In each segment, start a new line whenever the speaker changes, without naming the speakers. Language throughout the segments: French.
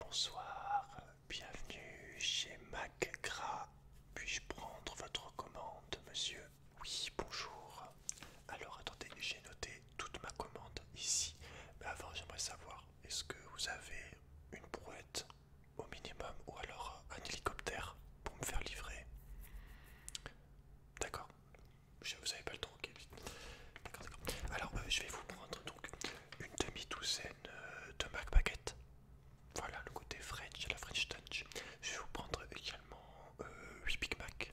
Bonsoir, bienvenue chez MacGras. Puis-je prendre votre commande, monsieur Oui, bonjour. Alors attendez, j'ai noté toute ma commande ici. Mais avant, j'aimerais savoir, est-ce que vous avez une brouette au minimum ou alors un hélicoptère pour me faire livrer D'accord. Vous n'avez pas le temps, D'accord, d'accord. Alors, euh, je vais vous prendre donc une demi-douzaine euh, de Mac Baguette. Voilà le côté French, la French Touch. Je vais vous prendre également euh, 8 Big Mac.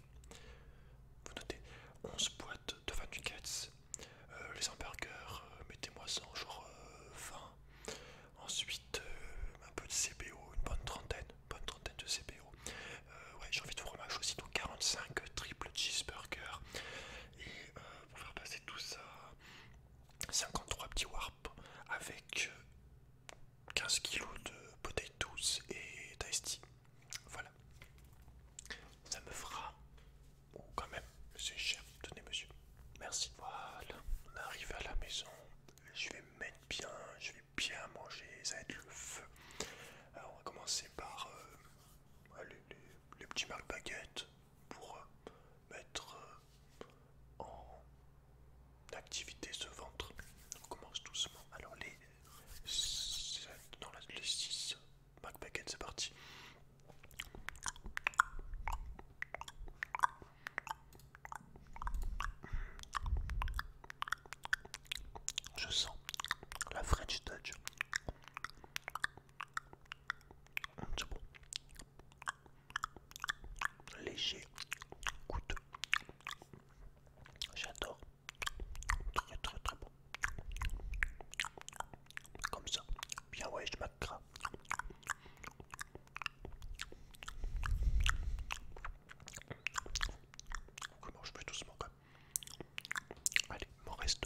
Vous notez 11 boîtes de 20 nuggets. Euh, les hamburgers, euh, mettez-moi ça genre 20. Ensuite, un peu de CBO, une bonne trentaine, bonne trentaine de CBO. ouais, j'ai envie de fromage aussi, donc 45 triple cheeseburger. Et pour faire passer tout ça. 53 petits warps avec 15 euh, kilos de douces et tasty Voilà. Ça me fera... Ou quand même, c'est cher. Tenez monsieur. Merci. Voilà. On arrive à la maison. Je vais mettre bien. Je vais bien manger. Ça va être le feu. Alors on va commencer par... Euh, les, les petits marques baguettes pour euh, mettre euh, en activité ce ventre. On commence doucement. Alors les 6, non, les c'est parti. Je sens la French Touch. C'est bon. Léger, coûteux. J'adore. Très très très bon. Comme ça. Bien ouais, je m'accra. Comment je peux doucement quand même. Allez, mon reste.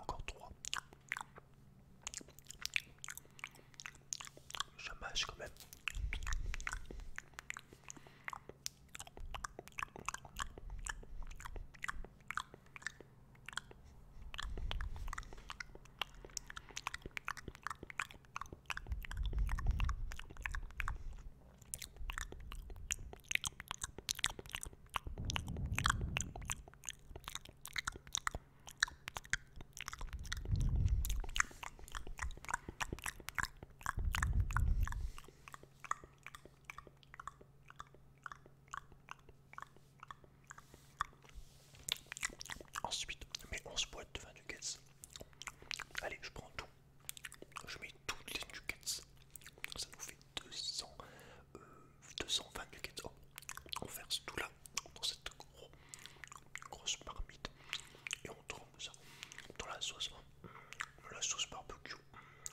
Encore trois. Je mâche quand même. Ensuite, mais 11 boîtes de 20 nuggets. Allez, je prends tout. Je mets toutes les nuggets. Ça nous fait 200, 220 on verse tout là dans cette grosse marmite et on trempe ça dans la sauce. Mm, la sauce barbecue,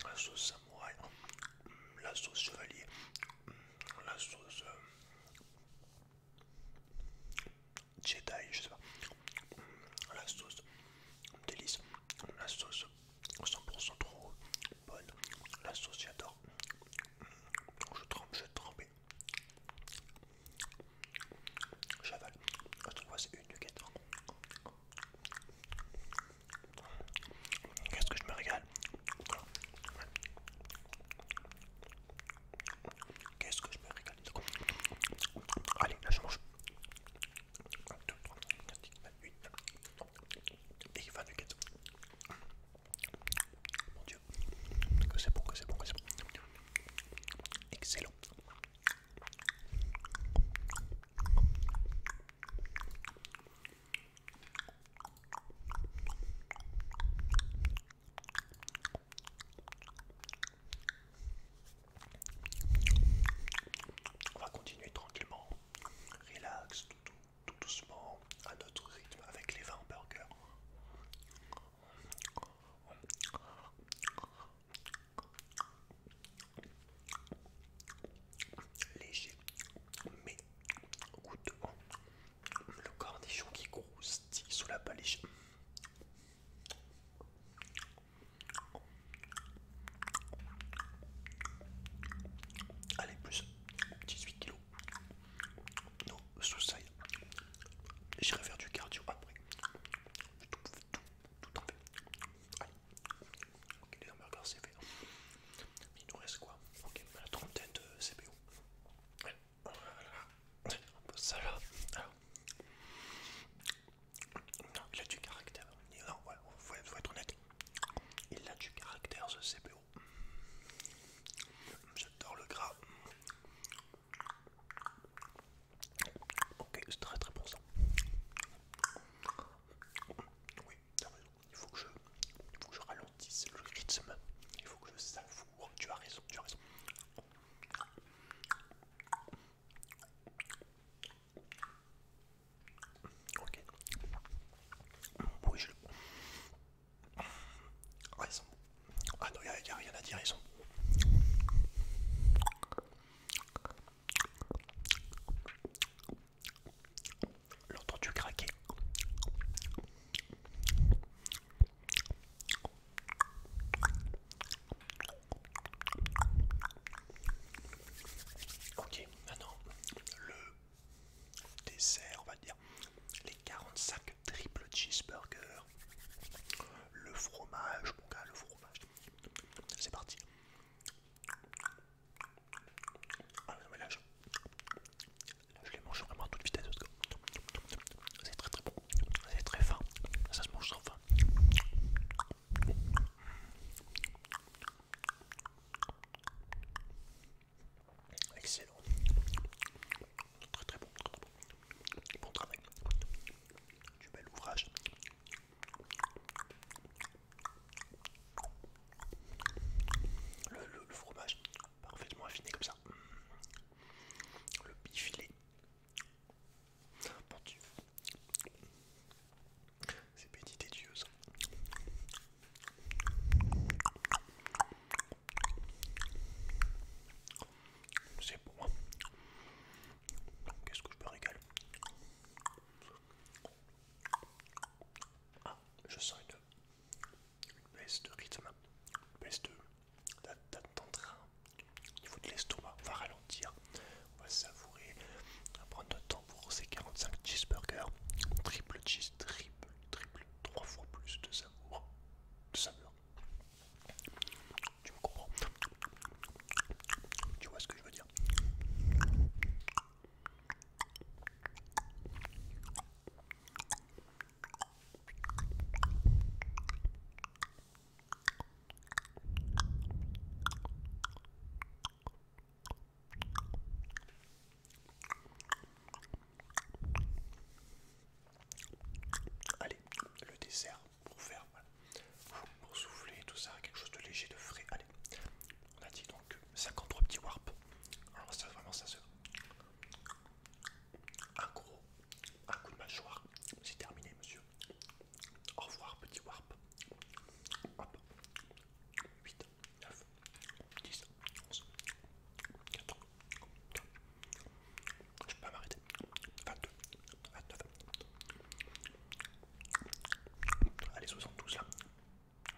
la sauce samouraï, mm, la sauce chevalier, mm, la sauce euh, Jedi, je sais pas, la sauce délice, la sauce 100% trop, bonne. l'associateur. Je trempe, je trempe. J'avale. Je trouve vois, c'est une duquette. Qu'est-ce que je me régale Qu'est-ce que je me régale Allez, là je mange. Et il va du guette. Mon dieu. Que c'est bon, que c'est bon, que c'est bon. Excellent. On va continuer tranquillement, relax, tout, doucement, à notre rythme, avec les 20 burgers. Léger, mais goûteux. Le cornichon qui croustille sous la léger Allez, plus 18 kilos. Non, sous ça, j'irai faire du cardio après. tout, tout, ok, les hamburgers c'est fait. Il nous reste quoi Ok, la trentaine de CPO. Voilà, ça là. Non, il du caractère. Non, faut être honnête. Il a du caractère ce CPO. J'adore le gras. Ok, c'est très très bon ça. Oui, t'as raison. Il faut, que je, il faut que je ralentisse le rythme. Il faut que je savoure. Tu as raison, tu as raison. Ok. je ah, ah, non, il n'y a, rien à dire, L'entendu craquer. Ok, maintenant le dessert, on va dire les 45 triple cheeseburger, le fromage, mon gars, le fromage. C'est parti. Ah mais là je, les mange vraiment à toute vitesse. C'est très très bon. C'est très fin. Ça se mange sans fin. Excellent. Très très bon. Bon travail. Du bel ouvrage. Le, fromage parfaitement affiné comme ça. Le bifilet. C'est béni des dieux ça. C'est bon. Qu'est-ce que je me régale Ah, je sens une, baisse de rythme, une baisse de d'attentat au niveau de l'estomac. On va ralentir, on va savourer, on va prendre notre temps pour ces 45 cheeseburgers, triple cheese, triple, triple, trois fois plus de savour, de saveur. Tu me comprends Tu vois ce que je veux dire Allez, le dessert pour faire, voilà, pour souffler tout ça, quelque chose de léger, de frais. Allez, on a dit donc 53 petits warps. Alors ça vraiment ça se, un gros, un coup de mâchoire, c'est terminé monsieur. Au revoir petit warp. 8, 9, 10, 11, 4, 3. Je peux pas m'arrêter. 22, 29. Allez, 72 là.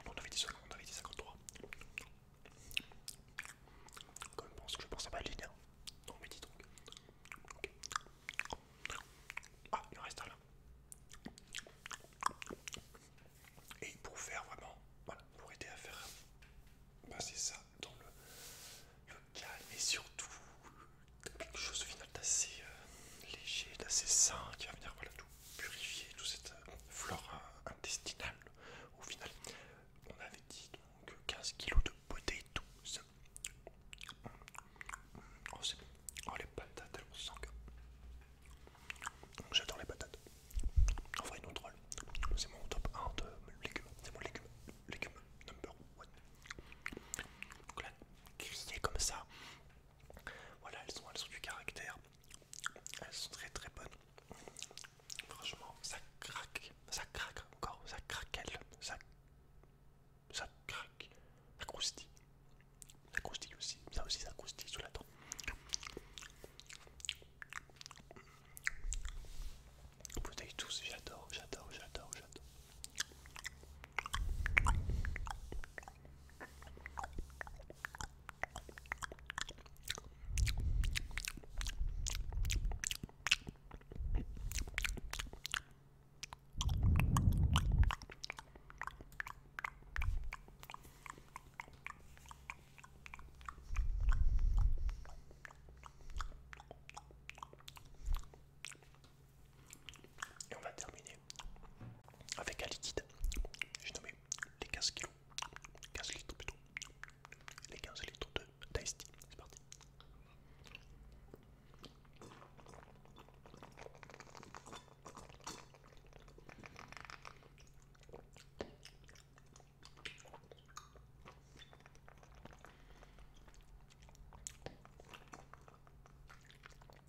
On avait dit 53. Quand pense que je pense à ma hein. Non, mais dis donc. Ah, il en reste un là. Et pour faire vraiment, pour aider à faire passer bah, ça dans le, calme et surtout quelque chose au final d'assez euh, léger, d'assez sain qui va venir voilà, tout purifier, toute cette euh, flore euh, intestinale. Au final, on avait dit donc 15 kg de potée Oh, c'est Oh les patates, elles sont sang J'adore les patates. En vrai, non troll. Euh, c'est mon top 1 de légumes. C'est mon légume. Légume number one. Donc là, grillées comme ça. Voilà, elles sont, elles sont du caractère. Elles sont très très bonnes. Franchement, ça craque. Ça craque encore. Ça craquelle. Ça ça craque, ça croustille, ça croustille aussi, ça aussi ça croustille sous la dent. Vous savez tous, j'adore, j'adore, j'adore, j'adore. Et on va terminer avec un liquide. J'ai nommé les 15 kilos, 15 litres plutôt, les 15 litres de Tasty. C'est parti.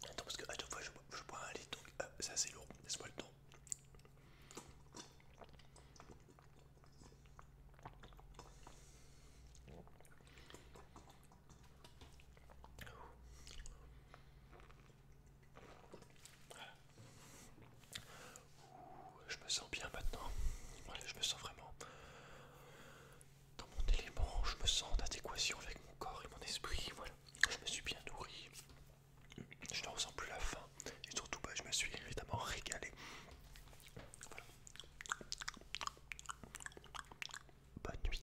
Attends parce que à chaque fois je, je bois un lit donc euh, c'est assez lourd, laisse-moi le temps je me sens bien maintenant. je me sens vraiment dans mon élément. Je me sens en adéquation avec mon corps et mon esprit. Voilà, je me suis bien nourri. Je ne ressens plus la faim. Et surtout, pas, bah, je me suis évidemment régalé. Bonne nuit.